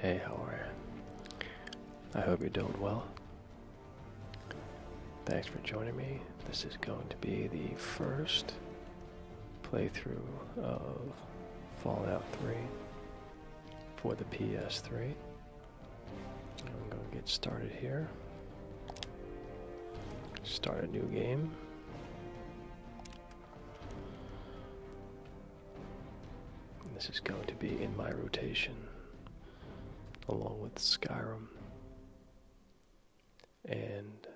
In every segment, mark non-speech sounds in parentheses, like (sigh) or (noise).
Hey, how are you? I hope you're doing well. Thanks for joining me. This is going to be the first playthrough of Fallout 3 for the PS3. I'm going to get started here. Start a new game this is going to be in my rotation along with Skyrim and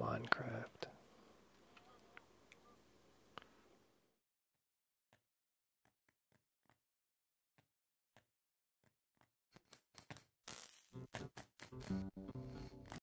Minecraft.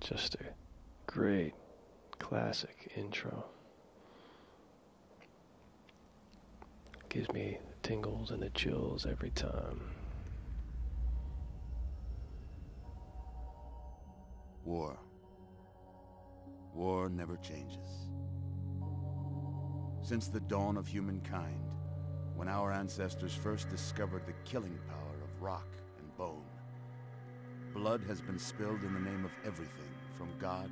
Just a great classic intro. Gives me tingles and the chills every time. War. War never changes. Since the dawn of humankind, when our ancestors first discovered the killing power of rock and bone, blood has been spilled in the name of everything from God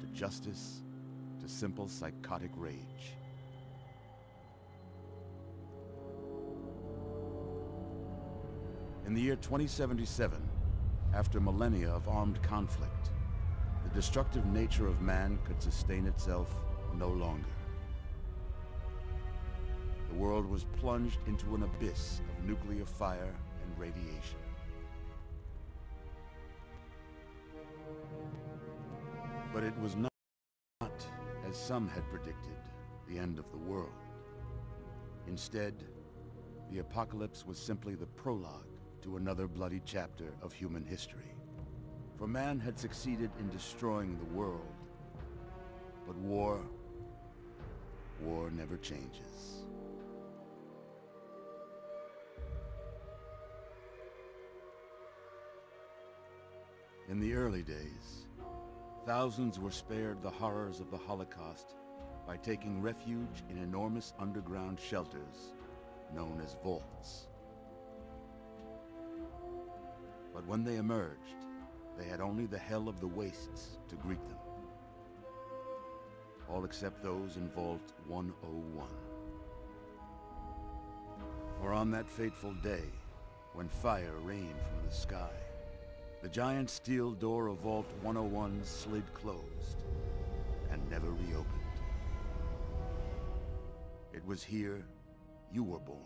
to justice to simple psychotic rage. In the year 2077, after millennia of armed conflict, the destructive nature of man could sustain itself no longer. The world was plunged into an abyss of nuclear fire and radiation. But it was not, as some had predicted, the end of the world. Instead, the apocalypse was simply the prologue to another bloody chapter of human history. For man had succeeded in destroying the world, but war, war never changes. In the early days, Thousands were spared the horrors of the Holocaust by taking refuge in enormous underground shelters known as vaults. But when they emerged, they had only the hell of the wastes to greet them. All except those in Vault 101. For on that fateful day, when fire rained from the sky. The giant steel door of Vault 101 slid closed and never reopened. It was here you were born.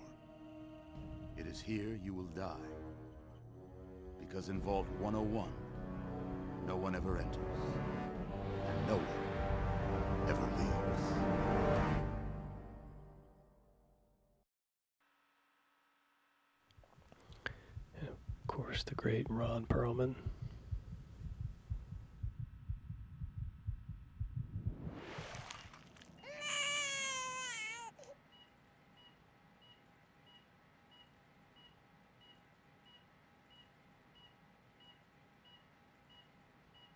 It is here you will die. Because in Vault 101, no one ever enters, and no one ever leaves. And of course, the great Ron Perlman.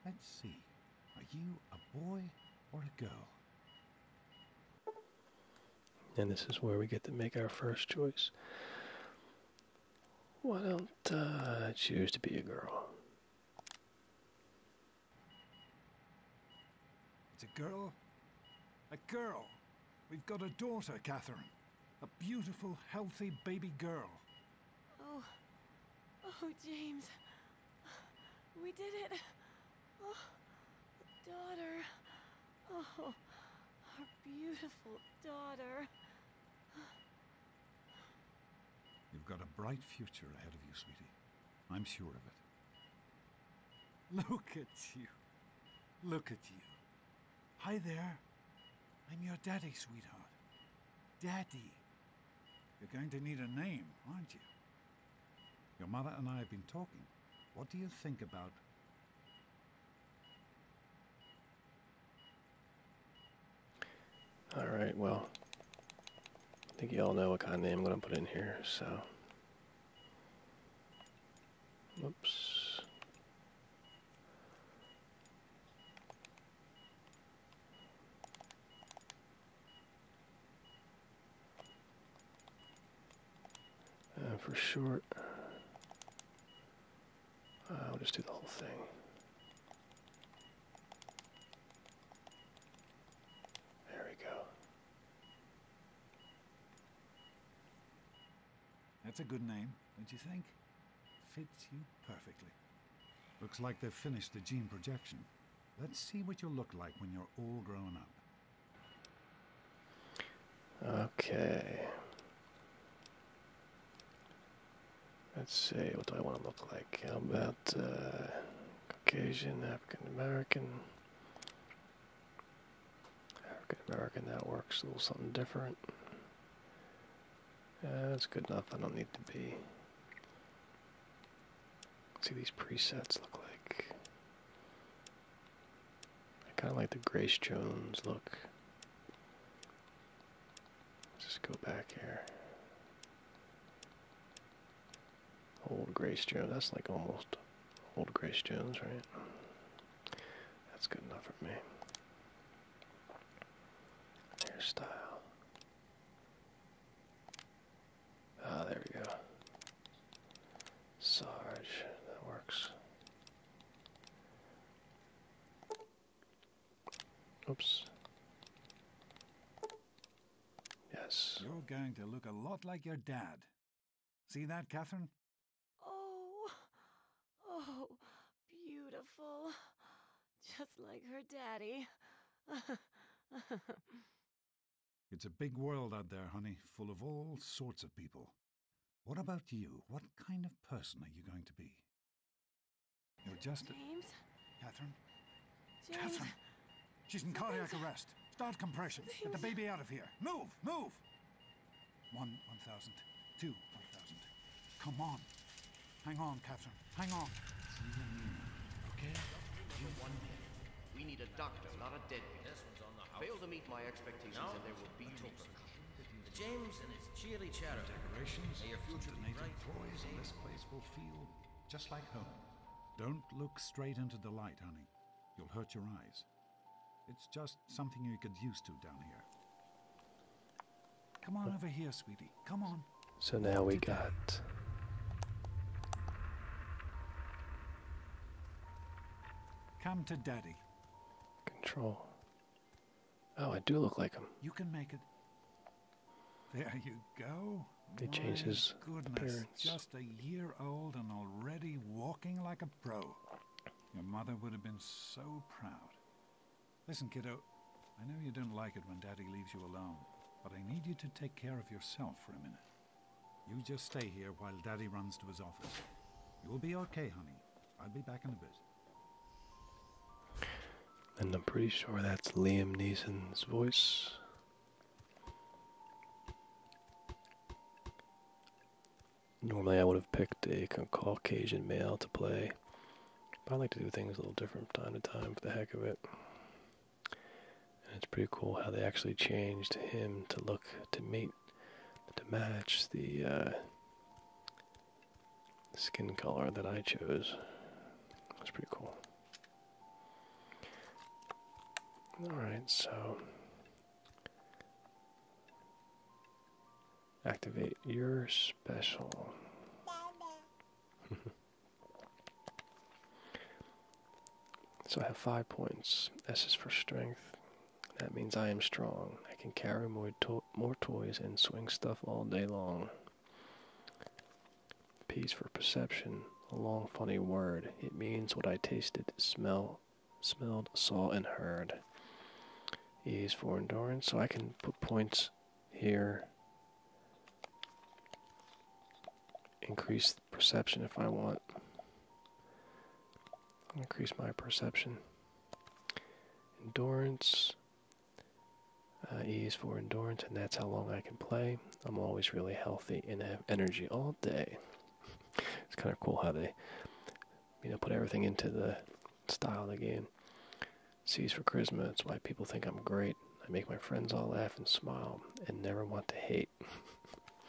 Let's see. Are you a boy or a girl? And this is where we get to make our first choice. Why don't I uh, choose to be a girl? It's a girl. A girl. We've got a daughter, Catherine. A beautiful, healthy baby girl. Oh. Oh, James. We did it. Oh, daughter. Oh, our beautiful daughter. You've got a bright future ahead of you, sweetie. I'm sure of it. Look at you. Look at you. Hi there. I'm your daddy, sweetheart. Daddy. You're going to need a name, aren't you? Your mother and I have been talking. What do you think about All right, well, I think you all know what kind of name I'm going to put in here, so. Oops. Uh, for short, uh, I'll just do the whole thing. There we go. That's a good name, don't you think? Fits you perfectly. Looks like they've finished the gene projection. Let's see what you'll look like when you're all grown up. Okay. Let's see, what do I want to look like? How about uh, Caucasian, African American? African American, that works a little something different. Uh, that's good enough, I don't need to be. see these presets look like. I kind of like the Grace Jones look. just go back here. Old Grace Jones, that's like almost Old Grace Jones, right? That's good enough for me. Hairstyle. Ah, there we go. Sarge, that works. Oops. Yes. You're going to look a lot like your dad. See that, Catherine? Oh, oh, beautiful. Just like her daddy. (laughs) It's a big world out there, honey, full of all sorts of people. What about you? What kind of person are you going to be? You're just James? Catherine? Catherine! She's in cardiac arrest. Start compressions. Get the baby out of here. Move! Move! One, one thousand. Two, one thousand. Come on. Hang on, Catherine. Hang on. okay? one we need a doctor, not a deadbeat. This Fail to meet my expectations and there will be no James and his cheery chatter. Decorations, May your future be bright. employees in this place will feel just like home. Don't look straight into the light, honey. You'll hurt your eyes. It's just something you get used to down here. Come on over here, sweetie. Come on. So now we got Come to Daddy. Control. Oh, I do look like him. You can make it. There you go. They changed goodness, Just a year old and already walking like a pro. Your mother would have been so proud. Listen, kiddo, I know you don't like it when Daddy leaves you alone, but I need you to take care of yourself for a minute. You just stay here while Daddy runs to his office. You'll be okay, honey. I'll be back in a bit. And I'm pretty sure that's Liam Neeson's voice. Normally I would have picked a Caucasian male to play. But I like to do things a little different from time to time for the heck of it it's pretty cool how they actually changed him to look to meet to match the uh, skin color that I chose. That's pretty cool. Alright, so activate your special. (laughs) So I have five points. S is for strength. That means I am strong. I can carry more, more toys and swing stuff all day long. P is for perception. A long, funny word. It means what I tasted, smell, smelled, saw, and heard. E is for endurance, so I can put points here. Increase perception if I want. Increase my perception. Endurance. Uh, ease for endurance, and that's how long I can play. I'm always really healthy and have energy all day. (laughs) It's kind of cool how they, you know, put everything into the style of the game. C for charisma. That's why people think I'm great. I make my friends all laugh and smile and never want to hate. (laughs)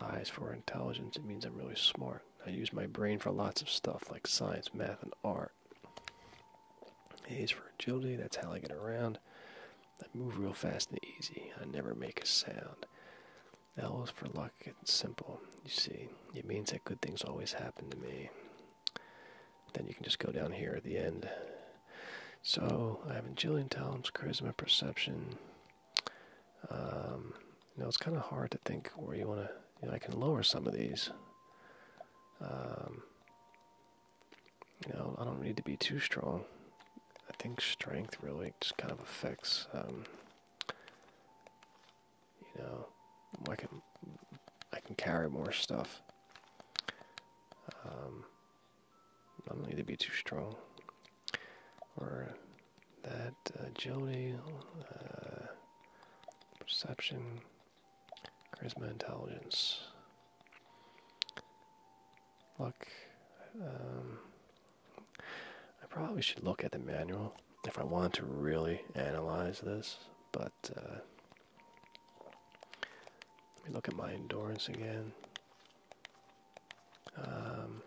Eyes for intelligence, it means I'm really smart. I use my brain for lots of stuff like science, math, and art. A's for agility, that's how I get around. I move real fast and easy. I never make a sound. L for luck, it's simple. You see, it means that good things always happen to me. Then you can just go down here at the end. So, I have agility, intelligence, charisma, perception. Um, you know, it's kind of hard to think where you want to. You know, I can lower some of these. Um, you know, I don't need to be too strong. I think strength really just kind of affects, um, you know, I can I can carry more stuff. Um, I don't need to be too strong or that uh, agility, uh, perception, charisma, intelligence, luck. Um, I probably should look at the manual if I want to really analyze this, but uh, let me look at my endurance again. Um,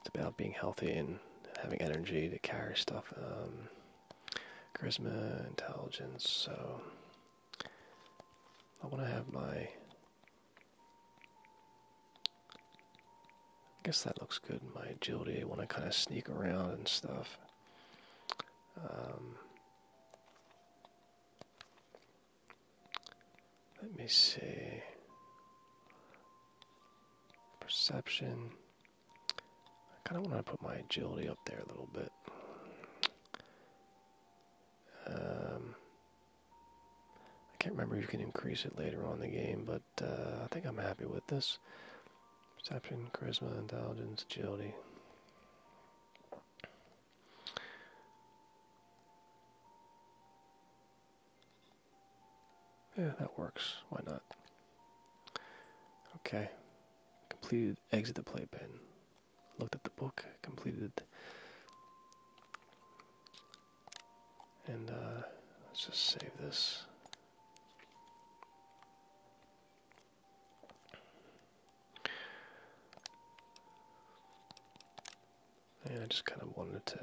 it's about being healthy and having energy to carry stuff. Um, charisma, intelligence. So I want to have my. I guess that looks good. My agility. I want to kind of sneak around and stuff. Um, let me see. Perception. I kind of want to put my agility up there a little bit. Um, I can't remember if you can increase it later on in the game, but uh, I think I'm happy with this. Perception, charisma, intelligence, agility. Yeah, that works. Why not? Okay. Completed exit the playpen. Looked at the book, completed. And uh, let's just save this and I just kind of wanted to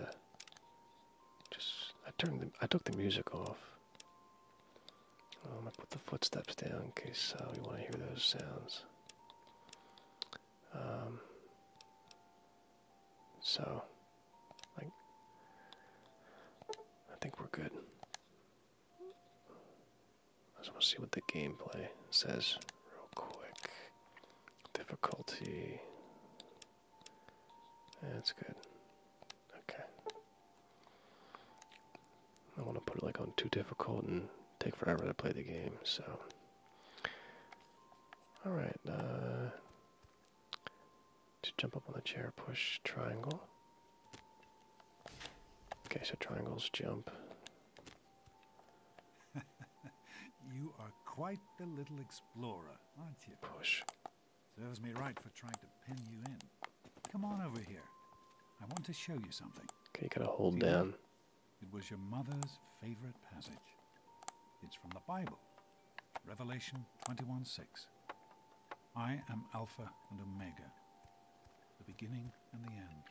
just I turned the I took the music off. Um, I put the footsteps down in case uh, you want to hear those sounds. Um, so, like, I think we're good. Let's see what the gameplay says real quick. Difficulty that's good. Okay. I want to put it like on too difficult and take forever to play the game, so. Alright, uh. jump up on the chair, push triangle. Okay, so triangles jump. (laughs) you are quite the little explorer. Push. Serves me right for trying to pin you in. Come on over here. I want to show you something. Okay, you gotta hold down. It was your mother's favorite passage. It's from the Bible. Revelation 21 6. I am Alpha and Omega, the beginning and the end.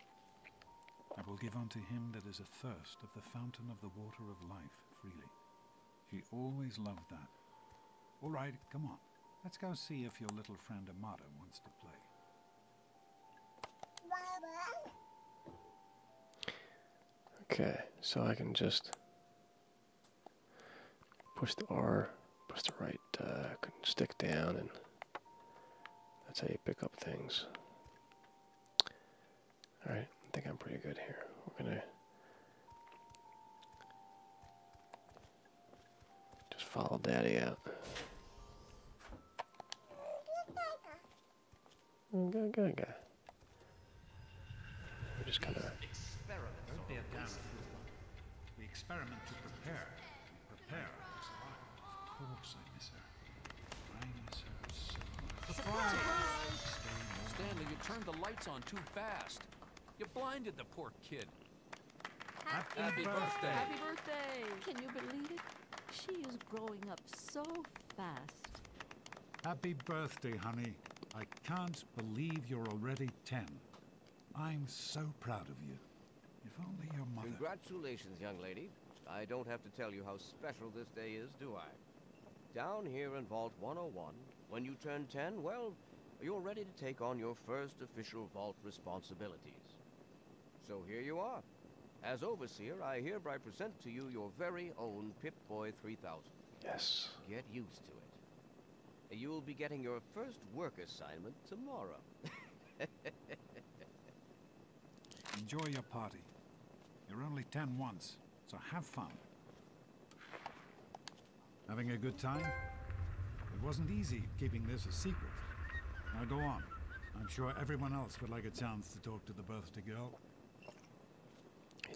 I will give unto him that is athirst of the fountain of the water of life freely. She always loved that. All right, come on. Let's go see if your little friend Amada wants to play. Okay, so I can just push the R, push the right uh, stick down, and that's how you pick up things. All right, I think I'm pretty good here. We're gonna just follow Daddy out. Go, go, go. We're just kind of. We experiment to prepare. We prepare Of course, I miss her. Stanley, you turned the lights on too fast. You blinded the poor kid. Happy, birthday. birthday. Happy birthday! Can you believe it? She is growing up so fast. Happy birthday, honey. I can't believe you're already ten. I'm so proud of you. If only your mother... Congratulations, young lady. I don't have to tell you how special this day is, do I? Down here in Vault 101, when you turn 10, well, you're ready to take on your first official Vault responsibilities. So here you are. As Overseer, I hereby present to you your very own Pip-Boy 3000. Yes. Get used to it. You'll be getting your first work assignment tomorrow. Enjoy your party. You're only ten once. So have fun. Having a good time? It wasn't easy keeping this a secret. Now go on. I'm sure everyone else would like a chance to talk to the birthday girl.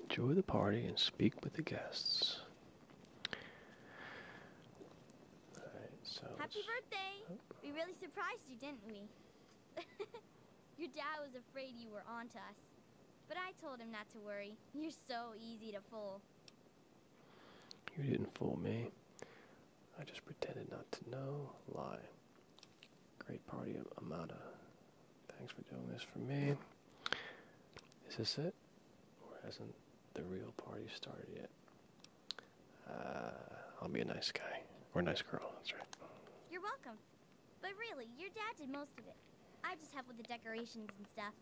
Enjoy the party and speak with the guests. All right. so Happy birthday! We really surprised you, didn't we? (laughs) Your dad was afraid you were on to us. But I told him not to worry. You're so easy to fool. You didn't fool me. I just pretended not to know. Lie. Great party, Amada. Thanks for doing this for me. Is this it? Or hasn't the real party started yet? Uh, I'll be a nice guy. Or a nice girl, that's right. You're welcome. But really, your dad did most of it. I just help with the decorations and stuff.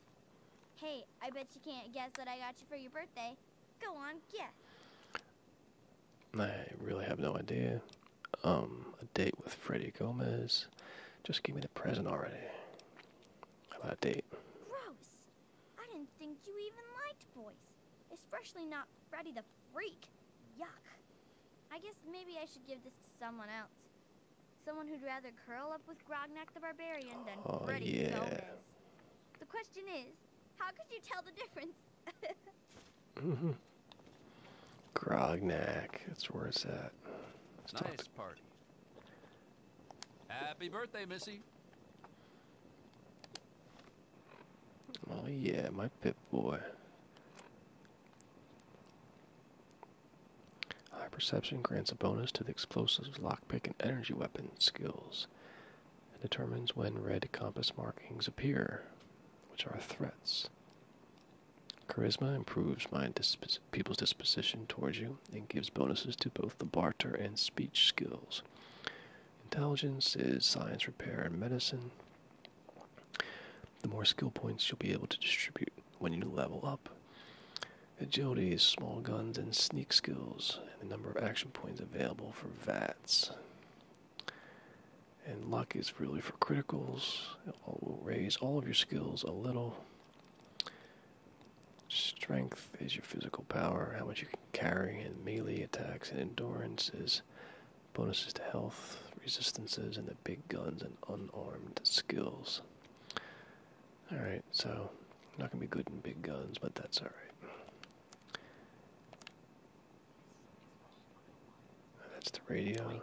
Hey, I bet you can't guess what I got you for your birthday. Go on, guess. I really have no idea. Um, a date with Freddy Gomez. Just give me the present already. How about a date? Gross. I didn't think you even liked boys. Especially not Freddy the Freak. Yuck. I guess maybe I should give this to someone else. Someone who'd rather curl up with Grognak the Barbarian than oh, Freddy Gomez. The question is, how could you tell the difference? mm (laughs) -hmm. Grognak, that's where it's at. nice party. Happy birthday, Missy. Oh yeah, my pit Boy. High perception grants a bonus to the explosives, lockpick, and energy weapon skills, and determines when red compass markings appear, which are threats. Charisma improves mind people's disposition towards you and gives bonuses to both the barter and speech skills. Intelligence is science, repair, and medicine. The more skill points you'll be able to distribute when you level up. Agility, is small guns, and sneak skills, and the number of action points available for VATs. And luck is really for criticals. It will raise all of your skills a little. Strength is your physical power, how much you can carry, and melee attacks and endurance is bonuses to health, resistances, and the big guns and unarmed skills. Alright, so not going to be good in big guns, but that's alright. That's the radio.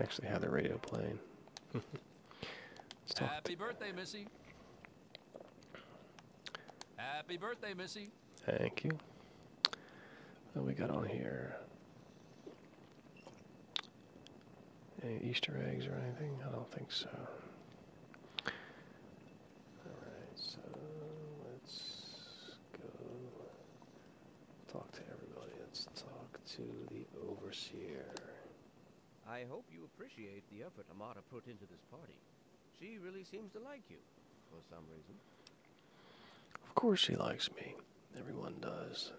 Actually, have the radio playing. Happy birthday, Missy. Happy birthday, Missy. Thank you. What we got on here? Any Easter eggs or anything? I don't think so. Alright, so let's go Talk to everybody. Let's talk to the overseer. I hope you appreciate the effort Amata put into this party. She really seems to like you, for some reason. Of course she likes me. Everyone does.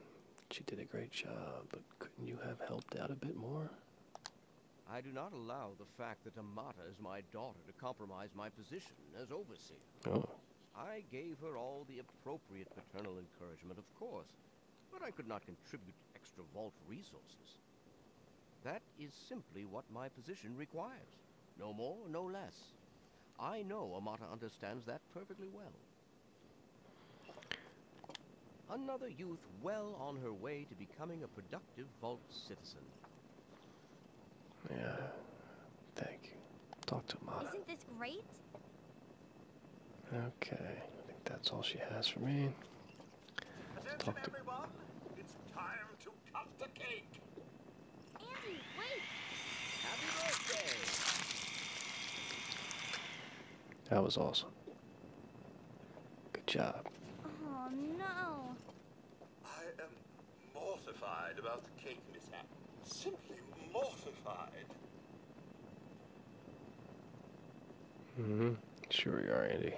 She did a great job, but couldn't you have helped out a bit more? I do not allow the fact that Amata is my daughter to compromise my position as overseer. Oh. I gave her all the appropriate paternal encouragement, of course, but I could not contribute extra vault resources. That is simply what my position requires. No more, no less. I know Amata understands that perfectly well. Another youth well on her way to becoming a productive Vault citizen. Yeah. Thank you. Talk to Amata. Isn't this great? Okay, I think that's all she has for me. talk to That was awesome. Good job. Oh no. I am mortified about the cake mishap. Simply mortified hmm Sure you are, Andy.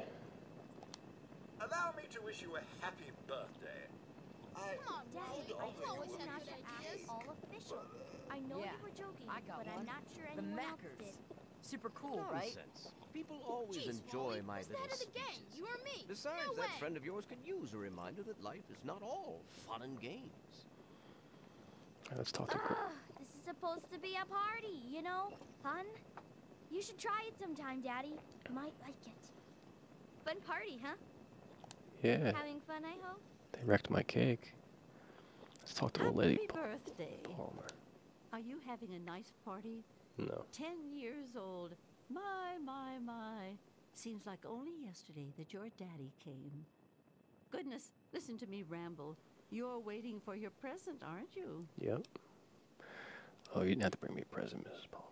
Allow me to wish you a happy birthday. I Come on, Daddy. I always have all official. I know you were joking, but I'm not sure the anyone else did. Super cool, right? People always enjoy my little You or me? Besides, that friend of yours could use a reminder that life is not all fun and games let's talk ah, This is supposed to be a party, you know? Fun? You should try it sometime, Daddy. You might like it. Fun party, huh? Yeah. Having fun, I hope. They wrecked my cake. Let's talk to the lady. birthday. Palmer. Are you having a nice party? No. Ten years old. My, my, my. Seems like only yesterday that your daddy came. Goodness, listen to me ramble. You're waiting for your present, aren't you? Yep. Oh, you didn't have to bring me a present, Mrs. Palmer.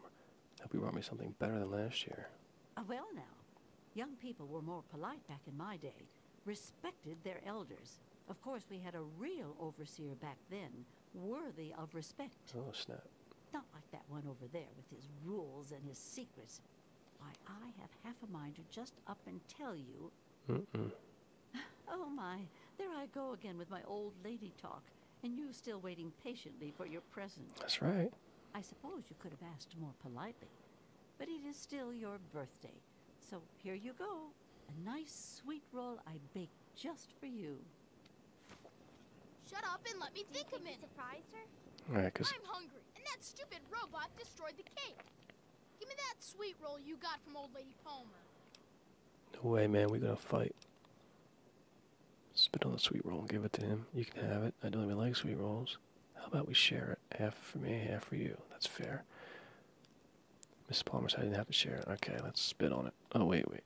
Hope you brought me something better than last year. Uh, well, now. Young people were more polite back in my day, respected their elders. Of course, we had a real overseer back then, worthy of respect. Oh, snap. Not like that one over there with his rules and his secrets. Why, I have half a mind to just up and tell you. (laughs) Oh my, there I go again with my old lady talk, and you still waiting patiently for your present. That's right. I suppose you could have asked more politely, but it is still your birthday, so here you go. A nice sweet roll I baked just for you. Shut up and let me think a minute. Surprised All right, cause I'm hungry, and that stupid robot destroyed the cake. Give me that sweet roll you got from old lady Palmer. No way, man. We're gonna fight. Spit on the sweet roll and give it to him. You can have it. I don't even like sweet rolls. How about we share it? Half for me, half for you. That's fair. Miss Palmer said you didn't have to share it. Okay, let's spit on it. Oh, wait, wait.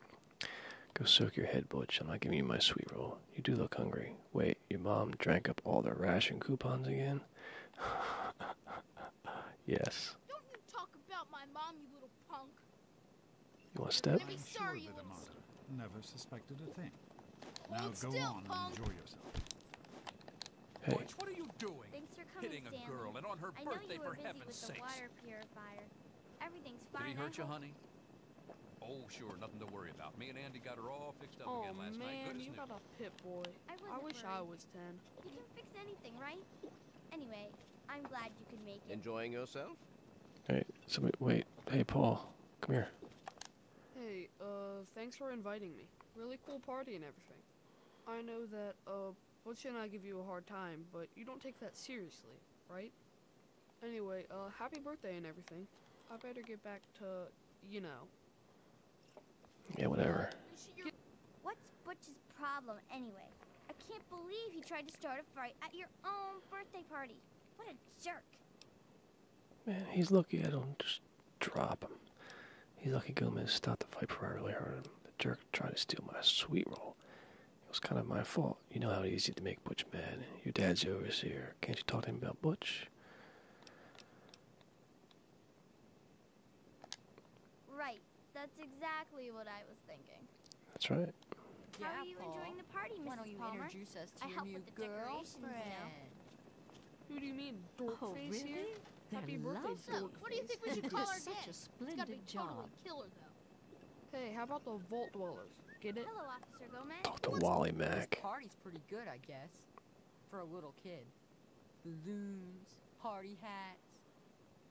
Go soak your head, Butch. I'm not giving you my sweet roll. You do look hungry. Wait your mom drank up all the ration coupons again? (laughs) yes. Don't you talk about my mom, you little punk. You want to step? Never suspected a thing. now go on and enjoy yourself. Hey. what are you doing? Hitting a girl and on her birthday, for heaven's sakes. Everything's fine. Did he hurt you, honey? Oh, sure, nothing to worry about. Me and Andy got her all fixed up oh, again last man, night. Goodness you news pit boy. I, wish I was 10. You can fix anything, right? Anyway, I'm glad you could make it. Enjoying yourself? Hey, so wait. Hey, Paul. Come here. Hey, uh, thanks for inviting me. Really cool party and everything. I know that, uh, Butch and I give you a hard time, but you don't take that seriously, right? Anyway, uh, happy birthday and everything. I better get back to, you know, yeah, whatever. What's Butch's problem anyway? I can't believe he tried to start a fight at your own birthday party. What a jerk. Man, he's lucky I don't just drop him. He's lucky Gomez stopped the fight before I really hurt him. The jerk tried to steal my sweet roll. It was kind of my fault. You know how easy to make Butch mad. Your dad's over here. Can't you talk to him about Butch? Right. That's exactly what I was thinking. That's right. How are you enjoying the party, Mrs. you Palmer? introduce us to I your help new with the decorations Who do you mean, oh, dork oh, face really? here? They're Happy birthday, so, What do you think we should (laughs) call our such a splendid it's job. killer, though. Hey, how about the Vault Dwellers? Get it? Hello, Officer Gomez. Talk to Wally Mac. The party's pretty good, I guess. For a little kid. Balloons, party hats.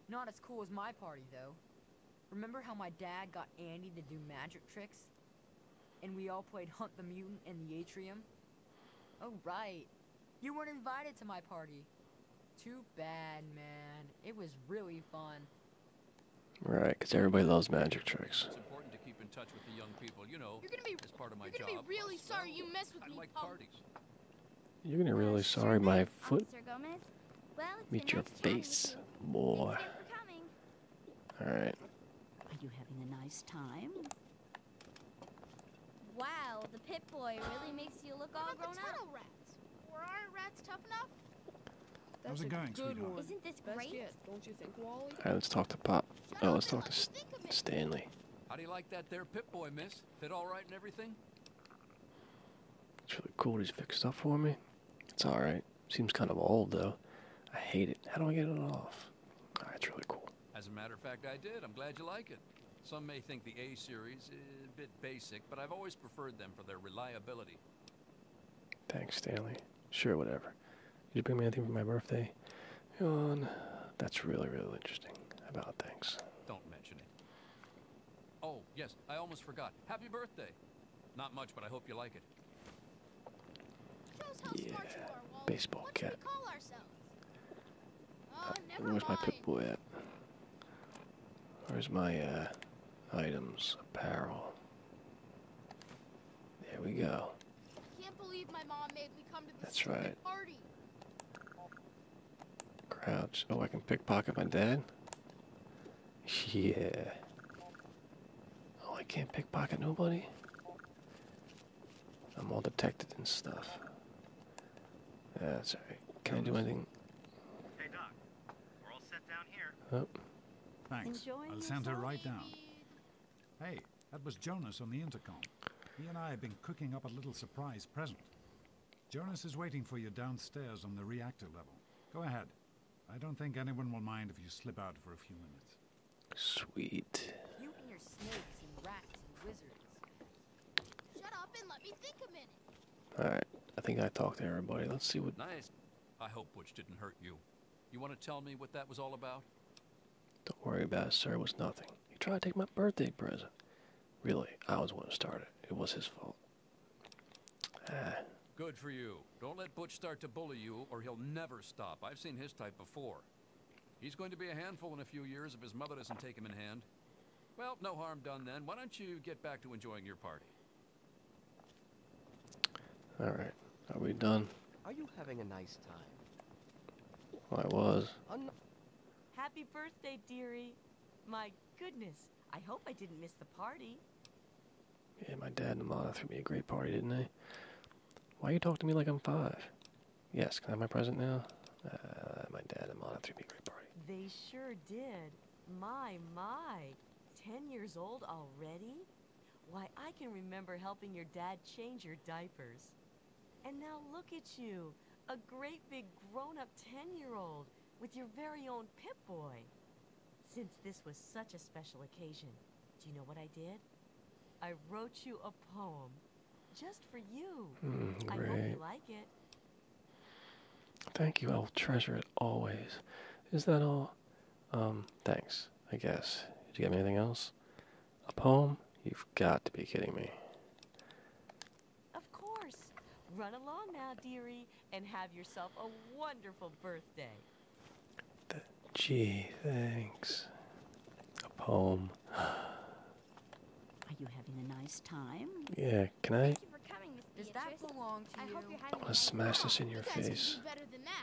Not as cool as my party, though. Remember how my dad got Andy to do magic tricks? And we all played Hunt the Mutant in the atrium? Oh, right. You weren't invited to my party. Too bad, man. It was really fun. Right, because everybody loves magic tricks as part of my You're job. Be really sorry you messed with I me. You're gonna be really sorry my foot meet your face boy. All right. Are you having a nice time? Wow, the pit boy really makes you look all what about grown the tunnel up. rats. Were our rats tough enough? That's How's it going, Isn't this great? don't you think, Wally? All right, let's talk to Pop. Oh, let's talk to Stanley. How do you like that there Pip-Boy, miss? Fit all right and everything? It's really cool he's fixed up for me. It's alright. Seems kind of old, though. I hate it. How do I get it off? Oh, it's really cool. As a matter of fact, I did. I'm glad you like it. Some may think the A-Series is a bit basic, but I've always preferred them for their reliability. Thanks, Stanley. Sure, whatever. Did you bring me anything for my birthday? That's really, really interesting about things. Don't mention it. Oh, yes, I almost forgot. Happy birthday. Not much, but I hope you like it. Yeah, baseball cap. Uh, oh, where's my pit boy at? Where's my uh, items, apparel? There we go. That's right. Crouch. Oh, I can pickpocket my dad? Yeah. Oh, I can't pickpocket nobody? I'm all detected and stuff. Yeah, sorry. Can I do anything? Hey, Doc. We're all set down here. Oh. Thanks. Enjoying I'll send her right down. Hey, that was Jonas on the intercom. He and I have been cooking up a little surprise present. Jonas is waiting for you downstairs on the reactor level. Go ahead. I don't think anyone will mind if you slip out for a few minutes. Sweet. Alright, I think I talked to everybody. Let's see what... Nice. I hope Butch didn't hurt you. You want to tell me what that was all about? Don't worry about it, sir. It was nothing. He tried to take my birthday present. Really, I was the one who started. It was his fault. Ah. Good for you. Don't let Butch start to bully you, or he'll never stop. I've seen his type before. He's going to be a handful in a few years if his mother doesn't take him in hand. Well, no harm done then. Why don't you get back to enjoying your party? All right. Are we done? Are you having a nice time? I was. Happy birthday, dearie. My goodness, I hope I didn't miss the party. Yeah, my dad and mom threw me a great party, didn't they? Why you talk to me like I'm five? Yes, can I have my present now? Uh, my dad and Lana threw me a great party. They sure did. My, my. Ten years old already? Why, I can remember helping your dad change your diapers. And now look at you, a great big grown-up 10-year-old with your very own Pip-Boy. Since this was such a special occasion, do you know what I did? I wrote you a poem, just for you. Hmm, I hope you like it. Thank you, I'll treasure it always. Is that all? Um, thanks, I guess. Did you get me anything else? A poem? You've got to be kidding me. Of course. Run along now, dearie, and have yourself a wonderful birthday. gee, thanks. A poem. Are you having a nice time? Yeah, can I? Does that belong to I you? Hope want to smash this in your you face.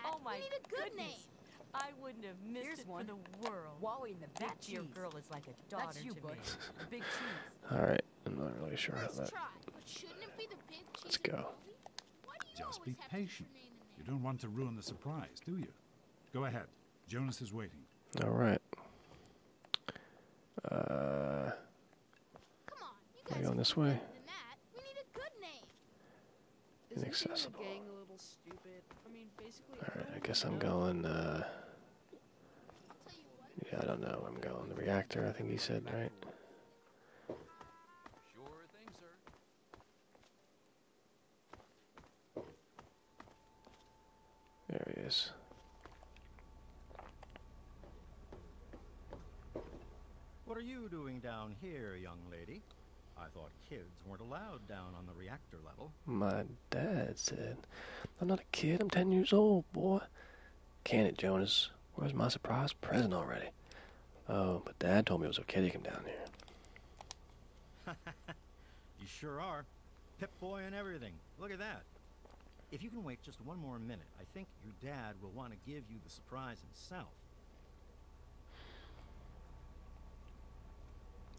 Oh my goodness. I wouldn't have missed it for the world. Wally in the back that dear girl is like a that's you, bud. (laughs) All right, I'm not really sure how that. Let's go. Just be patient. You don't want to ruin the surprise, do you? Go ahead. Jonas is waiting. All right. Uh, Come on, going this way? Inaccessible. Alright, I guess I'm going, uh, Yeah, I don't know. I'm going the reactor, I think he said, right? There he is. What are you doing down here, young lady? I thought kids weren't allowed down on the reactor level. Mud dad said. I'm not a kid. I'm ten years old, boy. Can it, Jonas? Where's my surprise present already? Oh, but Dad told me it was okay to come down here. (laughs) you sure are. Pip-Boy and everything. Look at that. If you can wait just one more minute, I think your dad will want to give you the surprise himself.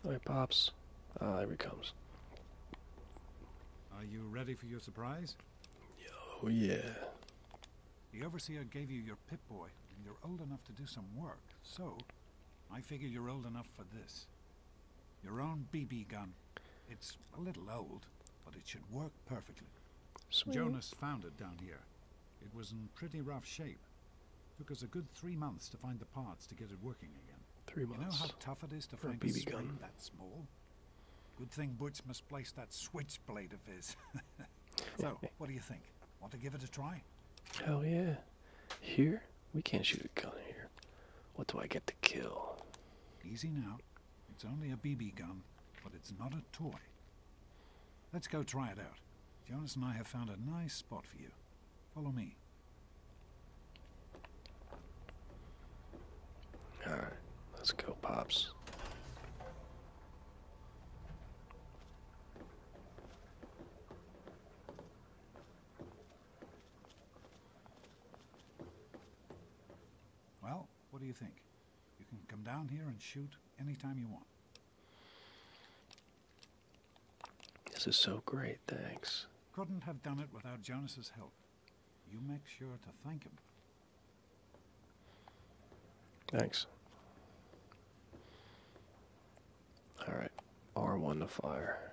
All right, Pops. Ah, there he comes. Are you ready for your surprise? Oh, yeah. The Overseer gave you your Pip-Boy, and you're old enough to do some work, so I figure you're old enough for this. Your own BB gun. It's a little old, but it should work perfectly. Sweet. Jonas found it down here. It was in pretty rough shape. Took us a good three months to find the parts to get it working again. Three months. You know how tough it is to find a, BB gun that small. Good thing Butch place that switchblade of his. (laughs) so, (laughs) what do you think? Want to give it a try? Hell yeah! Here we can't shoot a gun here. What do I get to kill? Easy now. It's only a BB gun, but it's not a toy. Let's go try it out. Jonas and I have found a nice spot for you. Follow me. All right, let's go, Pops. Well, what do you think? You can come down here and shoot anytime you want. This is so great, thanks. Couldn't have done it without Jonas's help. You make sure to thank him. Thanks. All right, R1 to fire.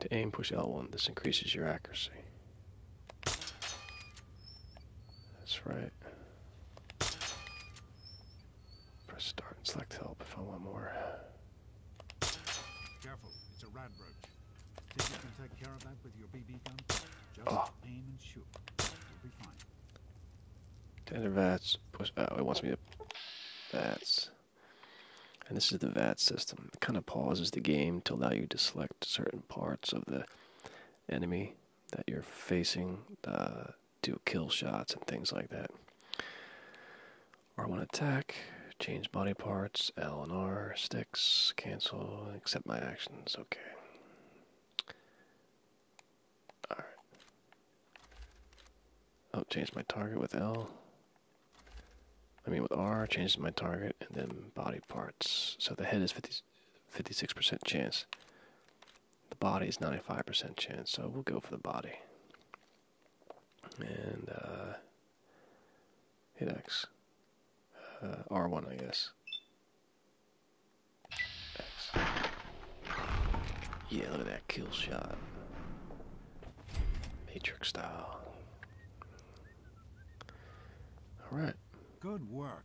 To aim, push L1. This increases your accuracy. That's right. Press start and select help if I want more. Careful, it's a rad Think you can take care of that with your BB gun? Just ah. aim and shoot. You'll be fine. Tender vats. Push. Oh, it wants me to. Vats. And this is the VAT system. It kind of pauses the game to allow you to select certain parts of the enemy that you're facing uh, do kill shots and things like that. R1 attack, change body parts, L and R, sticks, cancel, accept my actions, okay. Alright. Oh, change my target with L. I mean with R, changes my target, and then body parts. So the head is 50, 56% chance. The body is 95% chance, so we'll go for the body. And uh, hit X. Uh, R1, I guess. Yeah, look at that kill shot. Matrix style. Alright. Good work.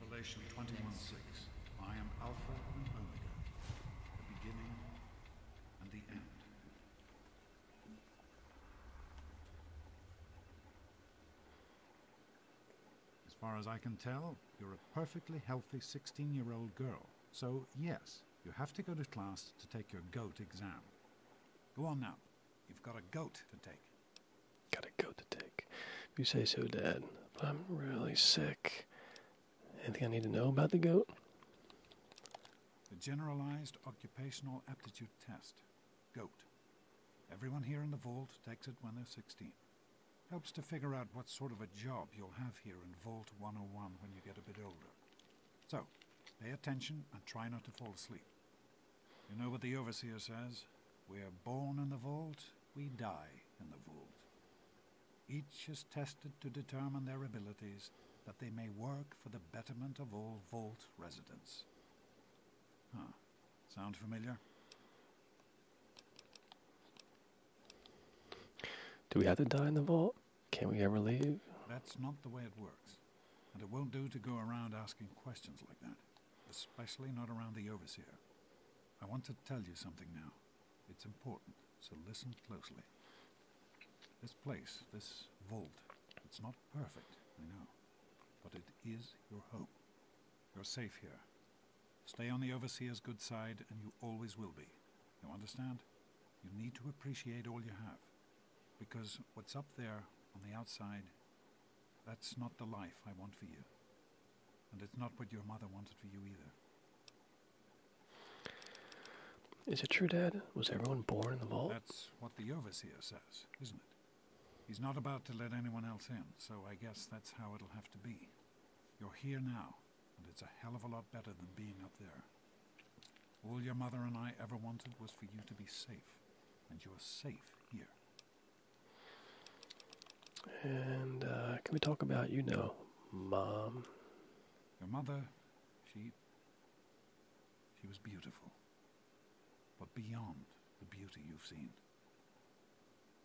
Revelation 21 6. I am Alpha and Omega, the beginning and the end. As far as I can tell, you're a perfectly healthy 16 year old girl. So, yes, you have to go to class to take your GOAT exam. Go on now. You've got a goat to take. Got a goat to take. you say so, Dad. But I'm really sick. Anything I need to know about the goat? The Generalized Occupational Aptitude Test. GOAT. Everyone here in the vault takes it when they're 16. Helps to figure out what sort of a job you'll have here in Vault 101 when you get a bit older. So, pay attention and try not to fall asleep. You know what the Overseer says? We are born in the vault, we die in the vault. Each is tested to determine their abilities that they may work for the betterment of all vault residents. Huh. Sound familiar? Do we have to die in the vault? Can not we ever leave? That's not the way it works. And it won't do to go around asking questions like that, especially not around the Overseer. I want to tell you something now. It's important, so listen closely. This place, this vault, it's not perfect, I know, but it is your home. You're safe here. Stay on the Overseer's good side, and you always will be. You understand? You need to appreciate all you have, because what's up there on the outside that's not the life I want for you. And it's not what your mother wanted for you either. Is it true, Dad? Was everyone born in the vault? That's what the overseer says, isn't it? He's not about to let anyone else in, so I guess that's how it'll have to be. You're here now, and it's a hell of a lot better than being up there. All your mother and I ever wanted was for you to be safe, and you're safe here. And uh, can we talk about, you know, mom? Your mother, she. she was beautiful. But beyond the beauty you've seen,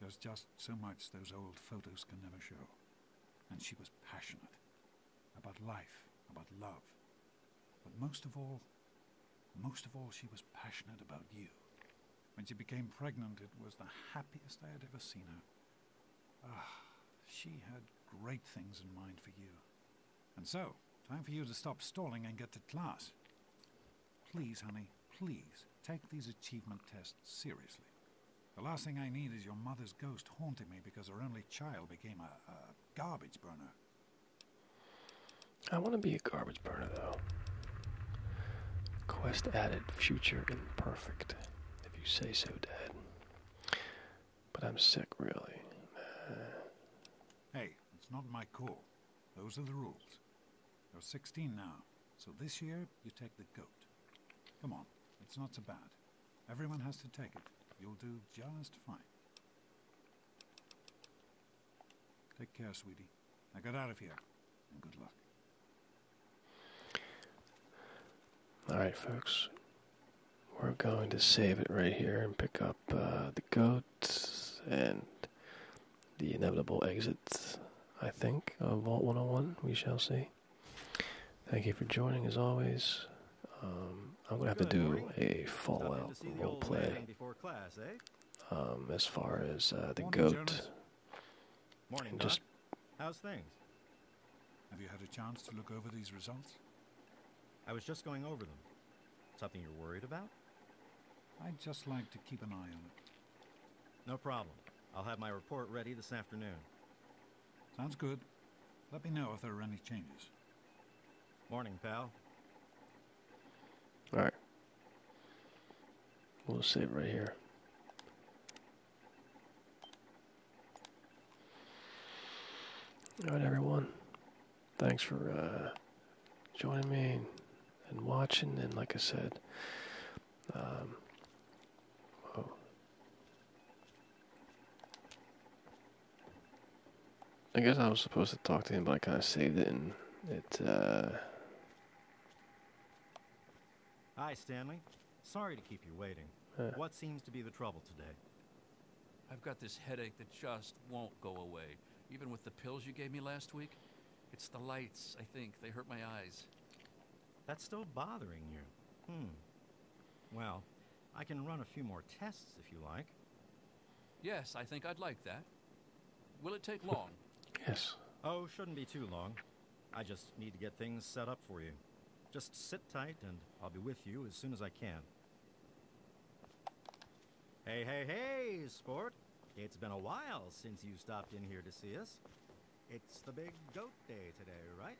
there's just so much those old photos can never show. And she was passionate about life, about love. But most of all, most of all, she was passionate about you. When she became pregnant, it was the happiest I had ever seen her. Ah, she had great things in mind for you. And so, time for you to stop stalling and get to class. Please, honey, please, take these achievement tests seriously. The last thing I need is your mother's ghost haunting me because her only child became a, garbage burner. I want to be a garbage burner though. Quest added, future imperfect. If you say so, Dad. But I'm sick, really. Hey, it's not my call. Those are the rules. You're 16 now, so this year you take the goat. Come on, it's not so bad. Everyone has to take it. You'll do just fine. Take care, sweetie. I got out of here, and good luck. Alright, folks. We're going to save it right here and pick up uh, the goat and the inevitable exit, I think, of Vault 101. We shall see. Thank you for joining, as always. Um, I'm going to have to do a Fallout roleplay eh? um, as far as uh, the goat. Morning, Doc. How's things? Have you had a chance to look over these results? I was just going over them. Something you're worried about? I'd just like to keep an eye on it. No problem. I'll have my report ready this afternoon. Sounds good. Let me know if there are any changes. Morning, pal. Alright. We'll save right here. All right, everyone. Thanks for uh, joining me and watching. And like I said, um, oh. I guess I was supposed to talk to him, but I kind of saved it, and it. Uh, Hi, Stanley. Sorry to keep you waiting. Uh. What seems to be the trouble today? I've got this headache that just won't go away, even with the pills you gave me last week. It's the lights, I think. They hurt my eyes. That's still bothering you. Hmm. Well, I can run a few more tests if you like. Yes, I think I'd like that. Will it take long? (laughs) yes. Oh, shouldn't be too long. I just need to get things set up for you. Just sit tight and I'll be with you as soon as I can. Hey, hey, hey, sport. It's been a while since you stopped in here to see us. It's the big goat day today, right?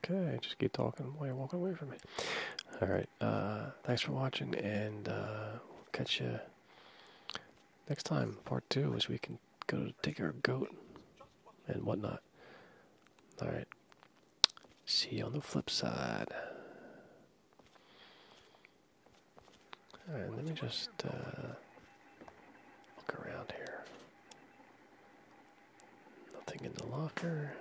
Okay, just keep talking. while you're walking away from me. Alright, uh, thanks for watching, and uh, catch you next time, part two, as we can go to take our goat and whatnot. Alright. See you on the flip side. Alright, let me just uh, look around here. Nothing in the locker.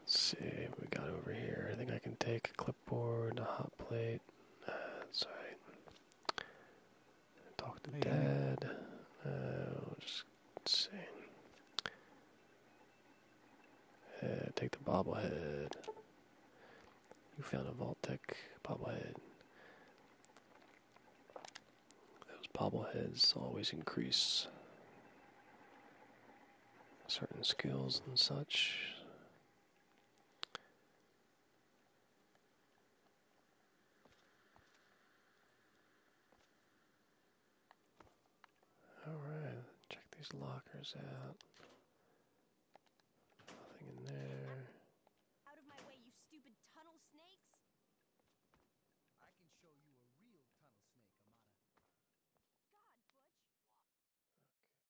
Let's see what we got over here. I think I can take a clip cupboard, a hot plate. That's uh, right. Talk to Dad. Uh, just see. Uh, take the bobblehead. You found a Voltec bobblehead. Those bobbleheads always increase certain skills and such. Alright, check these lockers out. Nothing in there. Out of my way, you stupid tunnel snakes. I can show you a real tunnel snake, Amada. God, Butch.